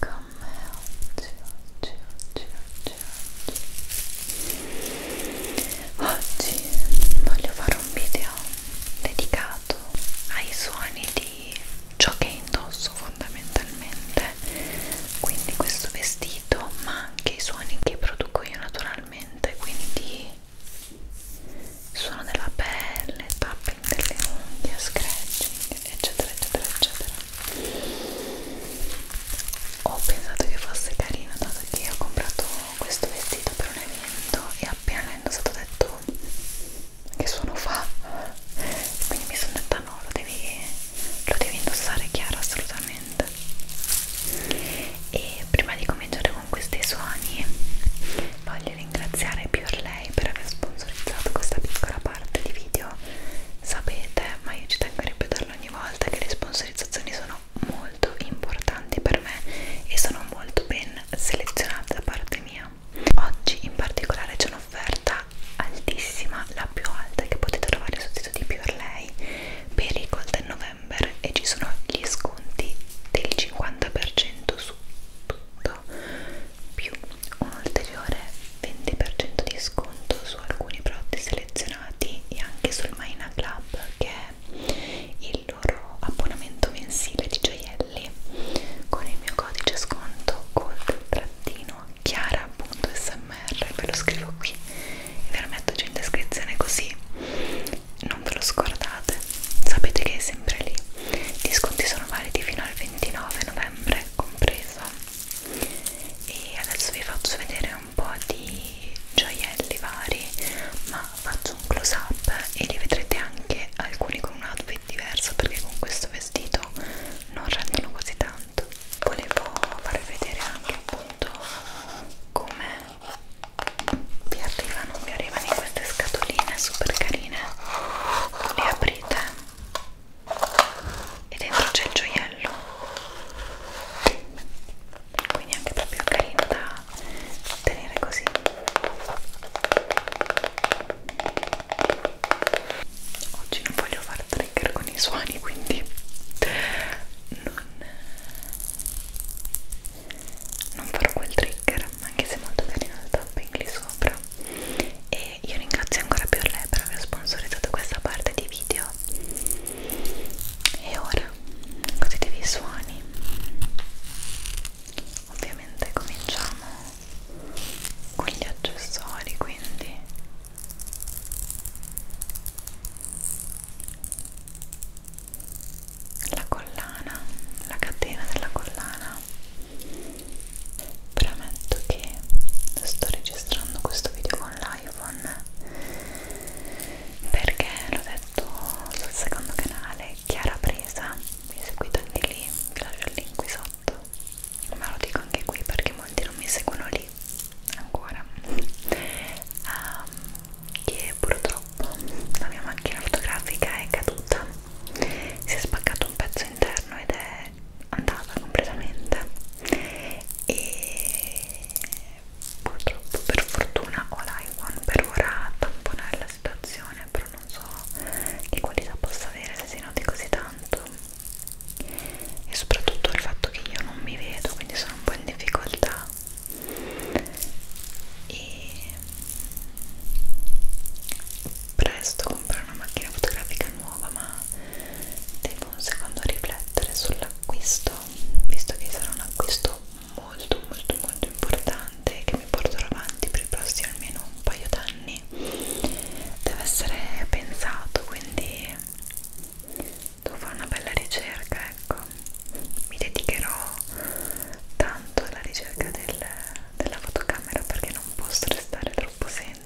con me oggi, oggi, oggi, oggi, oggi. Oggi voglio fare un video dedicato ai suoni di ciò che indosso fondamentalmente, quindi questo vestito, ma anche i suoni che produco io naturalmente, quindi il suono della pelle, tap prendere le unghie, scratching, eccetera, eccetera, eccetera. Ho pensato che fosse carino dato che ho comprato questo vestito per un evento e appena l'ho indossato ho detto che suono fa? Quindi mi sono detta no, lo devi, lo devi indossare chiaro assolutamente. E prima di cominciare con questi suoni voglio ringraziare Pure Lei per aver sponsorizzato questa piccola parte di video. Sapete, ma io ci tengo a ripeterlo ogni volta, che le sponsorizzazioni sono molto importanti per me e sono molto ben selezionate da parte mia. Oggi in particolare c'è un'offerta altissima, la più alta che potete trovare sul sito di Pure Lei per il Golden November e ci sono gli sconti del 50% su tutto più un ulteriore 20% di sconto su alcuni prodotti selezionati e anche sul Maina Club che è il loro abbonamento mensile di gioielli con il mio codice sconto gold-chiara.smr ve lo scrivo qui e ve lo metto giù in descrizione così non ve lo scordate novembre sapete che è sempre lì gli sconti sono validi fino al 29 novembre compreso e adesso vi faccio vedere un po' di gioielli vari ma faccio un close up e li vedrete anche alcuni con un outfit diverso perché con questo vestito non rendono così tanto volevo farvi vedere anche appunto come vi arrivano, vi arrivano in queste scatoline super carine palline le aprite e dentro c'è il gioiello quindi anche proprio carino da tenere così oggi non voglio fare trigger con i suoni quindi non non farò quel trigger trigger anche se molto carino il tapping lì sopra e io ringrazio ancora più lei per aver sponsorizzato questa parte di video e ora godetevi i suoni ovviamente cominciamo con gli accessori quindi la collana la catena della collana premetto che sto registrando questo video con l'iPhone perché l'ho detto sul secondo canale Chiara Presa mi seguite anche lì, vi lascio il link qui sotto ma lo dico anche qui perché molti non mi seguono lì ancora um, che purtroppo la mia macchina fotografica è caduta si è spaccato un pezzo interno ed è andata completamente e purtroppo per fortuna ho l'iPhone per ora a tamponare la situazione però non so che qualità possa avere se si noti così tanto e soprattutto il fatto che io non mi vedo quindi sono un po' in difficoltà e presto comprare una macchina fotografica nuova ma devo un secondo riflettere sull'acquisto visto che sarà un acquisto molto molto molto importante che mi porterò avanti per i prossimi almeno un paio d'anni deve essere pensato quindi devo fare una bella ricerca ecco mi dedicherò tanto la ricerca del, della fotocamera perché non posso restare troppo senza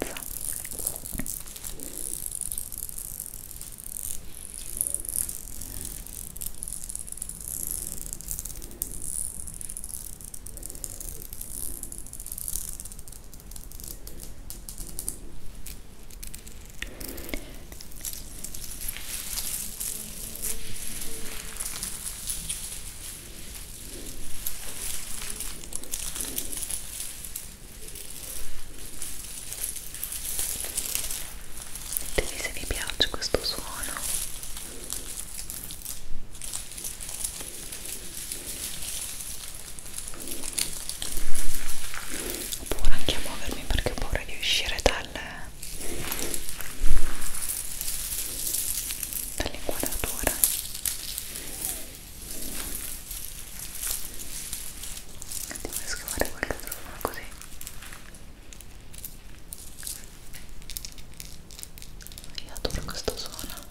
Ditemi se vi piace questo suono. Oppure anche a muovermi perché ho paura di uscire dalle, dall'inquadratura andiamo a scavare quel microfono così io adoro questo suono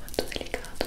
molto delicato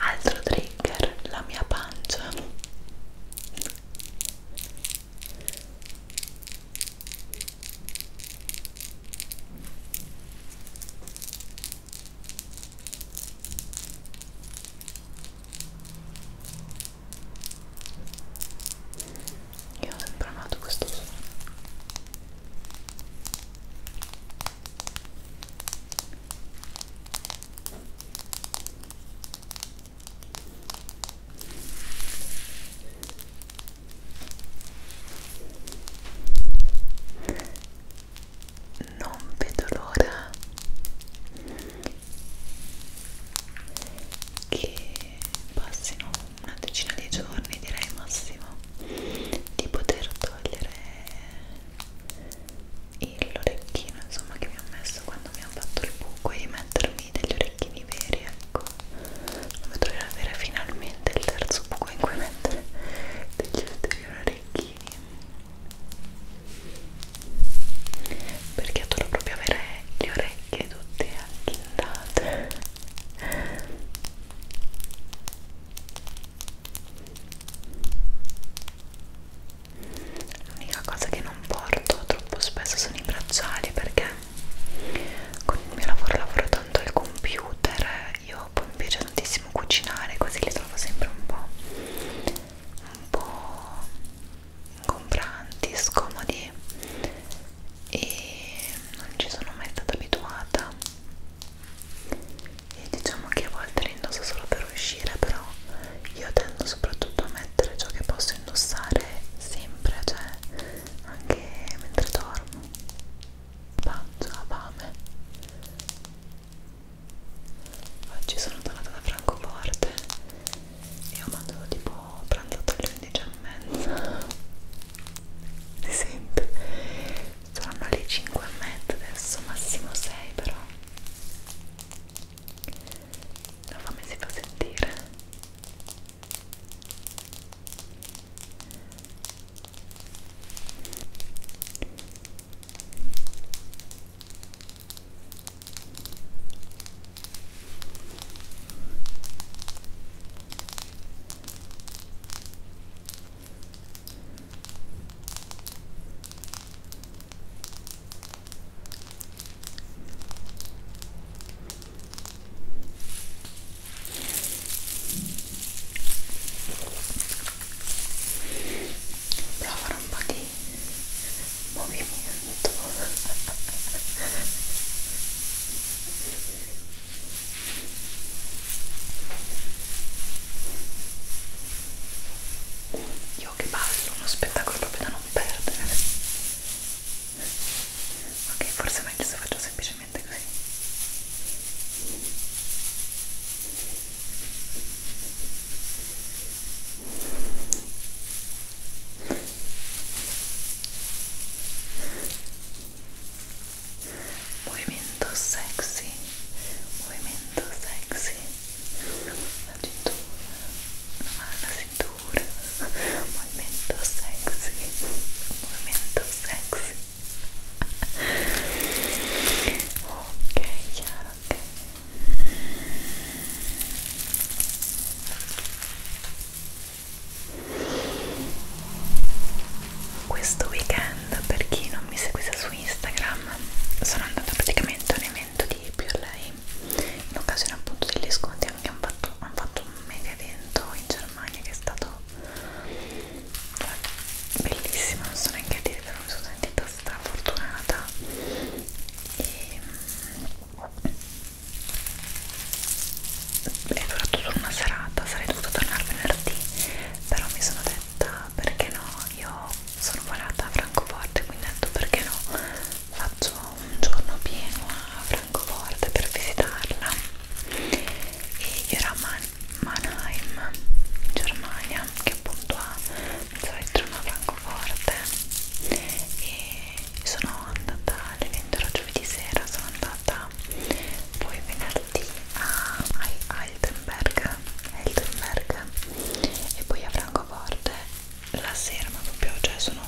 Altro trigger, la mia pancia io ho sempre amato questo suono non vedo l'ora che passino una decina di giorni direi massimo di poter togliere l'orecchino insomma che mi ho messo quando mi ha fatto il buco e mettermi orecchini, degli orecchini veri, ecco. Dove dovrei avere finalmente il terzo buco in cui mettere degli ulteriori orecchini. Perché adoro proprio avere le orecchie tutte acchindate. L'unica cosa che non porto troppo spesso sono i bracciali perché con il mio lavoro lavoro tanto al computer io poi mi piace tantissimo cucinare così li trovo sempre un po' un po' ingombranti, scomodi e non ci sono mai stata abituata e diciamo che a volte li indosso solo per uscire però io tendo soprattutto a mettere mettere ciò che posso indossare sempre, cioè anche mentre dormo. Pancia, fame. Oggi sono tornata da Francoforte e ho mangiato tipo pranzato alle 11 e mezza. Si sente? Saranno alle 5 e mezza adesso, massimo 6 però la fame si fa sentire Prova a fare un po' di movimento io che ballo uno spettacolo proprio da non perdere ok forse è meglio se faccio semplicemente così Movimiento sexy Movimiento sexy la cintura la cintura pure movimento sexy movimento sexy ok chiaro ok questo weekend per chi non mi seguisse su Instagram sono andata praticamente nei abbonamento di più a lei in occasione appunto degli sconti anche hanno fatto, han fatto un mega evento in Germania che è stato cioè, bellissimo non so neanche a dire però mi sono sentita strafortunata e, è durato solo una serata sarei dovuta tornare venerdì però mi sono detta perché no io sono volata a Francoforte quindi ho detto perché no faccio un giorno pieno a Francoforte per visitarla e io ero a Man Mannheim in Germania che appunto ha mezzoletto a Francoforte e sono andata all'evento giovedì sera sono andata poi venerdì a Heidelberg Heidelberg e poi a Francoforte la sera, ma proprio, cioè sono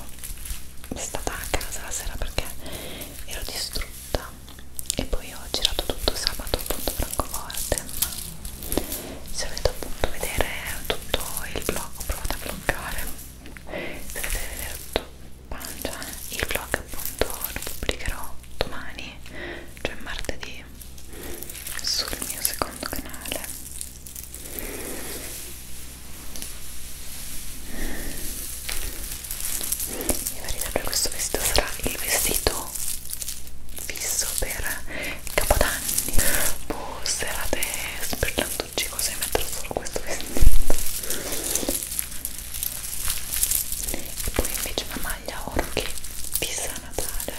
stata a casa la sera perché ero distrutta e poi ho girato tutto sabato appunto Francoforte ma se volete appunto vedere tutto il vlog, ho provato a bloccare se volete vedere tutto pancia, il vlog appunto lo pubblicherò domani, cioè martedì sul mio secondo canale mi pare sempre questo vestito sarà il vestito fisso per capodanni boh, serate sperlanducci così metterò solo questo vestito e poi invece una maglia oro che fissa Natale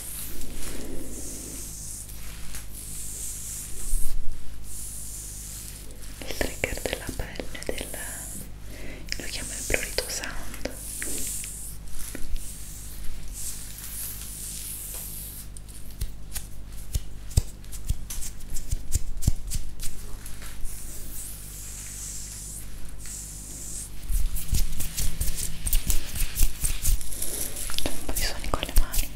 il trigger della pelle del lo chiamo il prurito sound un po' di suoni con le mani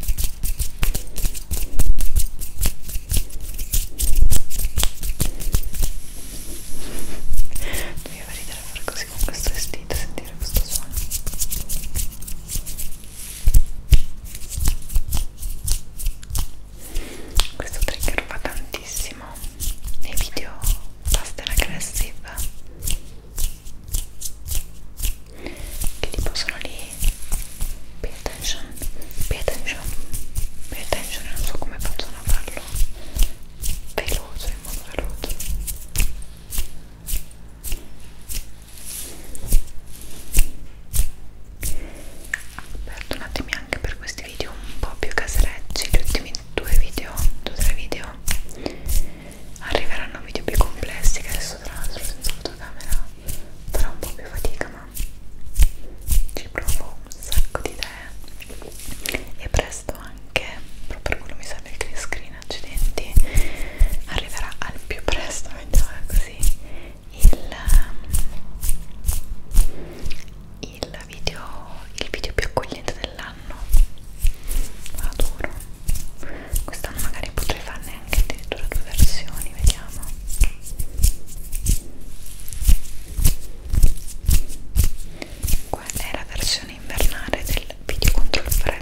mi fa ridere fare così con questo vestito e sentire questo suono questo trigger va tantissimo nei video pasta aggressive che tipo sono lì pay attention pay attention pay attention non so come facciano a farlo veloce in modo veloce aperto un attimo anche per questi video un po' più caserecci gli ultimi due video due o tre video arriveranno video più complessi che adesso tra l'altro senza fotocamera farò un po' più fatica ma ci provo un sacco di idee e presto anche proprio per quello mi serve il green screen accidenti arriverà al più presto mettiamola così il, il video, il video più accogliente dell'anno adoro quest'anno magari potrei farne anche addirittura due versioni vediamo qua è la versione invernale del video contro il freddo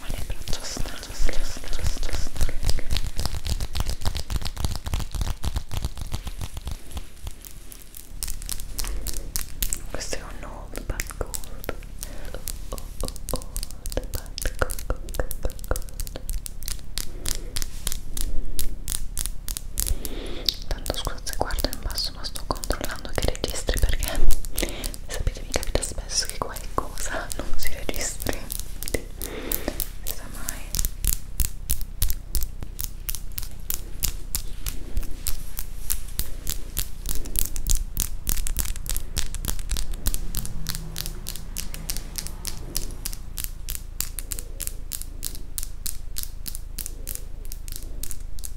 Ma le braccia stanno, stanno, stanno, stanno, stanno. Questo è un old but gold. Oh, oh, oh, old but gold, gold, gold, gold. Tanto scusa se guardo in basso adesso non sto controllando che registri perché sapete mi capita spesso che qualcosa non si registri non si sa mai ok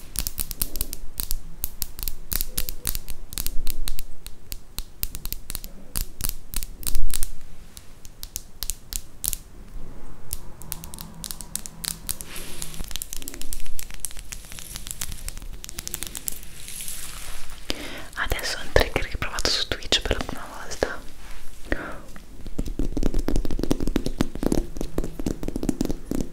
Adesso è un trigger che ho provato su Twitch per la prima volta.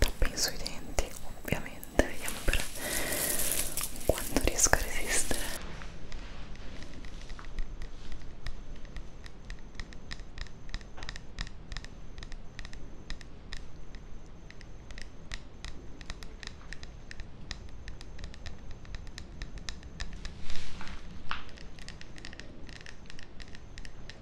tapping sui denti ovviamente vediamo per quanto riesco a resistere ok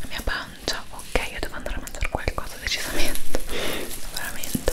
La mia pancia, ok, io devo andare a mangiare qualcosa decisamente, veramente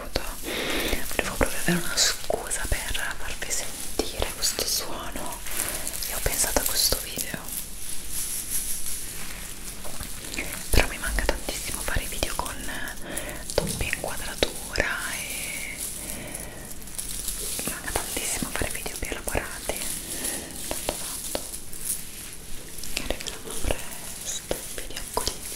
comodo volevo proprio avere una scusa per farvi sentire questo suono e ho pensato a questo video però mi manca tantissimo fare video con doppia inquadratura e mi manca tantissimo fare video più elaborati tanto tanto che arriveranno presto video accoglienti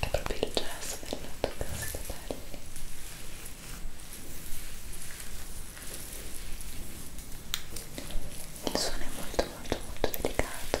è proprio il gesso del toccare i capelli il suono è molto molto molto delicato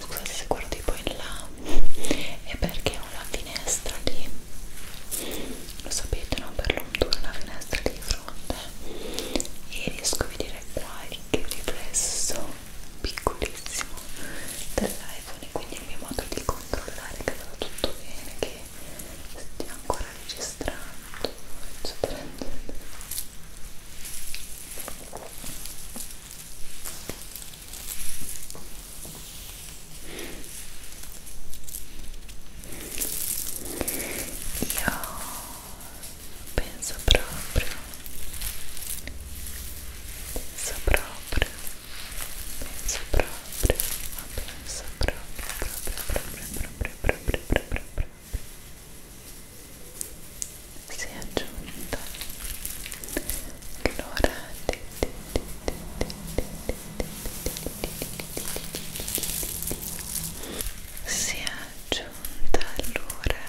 Scusate se guardo tipo in là, è perché ho la finestra lì, lo sapete, no? Per l'ontura una finestra lì di fronte e riesco a vedere qualche riflesso piccolissimo dell'iPhone quindi è il mio modo di controllare che vada tutto bene che stia ancora registrando eccetera io penso proprio Pensa própria, pensa própria, uma pensa própria, própria, própria, própria, própria, própria, si è aggiunta l'ora si è aggiunta l'ora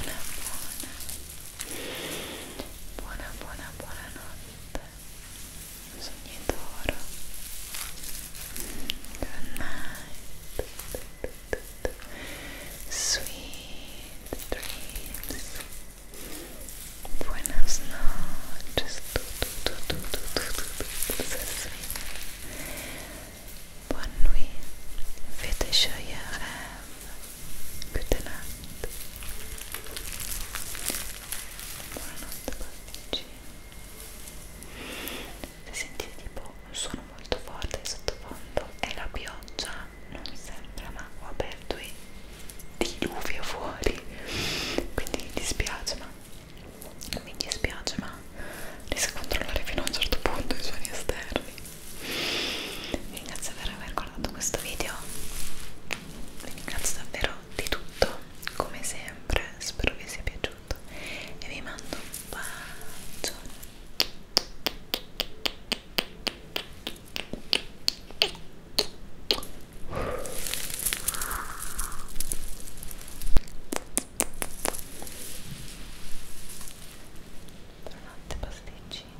Una buona, buena, buona, buona noche Good Sweet Buenas noches. Bonne nuit, faites joyeux rêves. Good night. Buonanotte, bambini. Se sentite tipo un suono molto forte di sottofondo è la pioggia, non sembra, ma ho aperto il diluvio fuori. Quindi mi dispiace, ma mi dispiace ma riesco a controllare fino a un certo punto i suoni esterni vi ringrazio per aver guardato questo video vi ringrazio davvero di tutto come sempre spero vi sia piaciuto e vi mando un bacione Buonanotte pasticcini.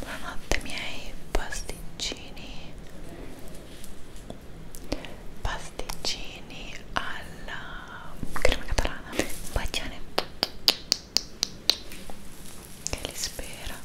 Buonanotte miei pasticcini. Pasticcini alla crema catalana. Baciane. Che li spera.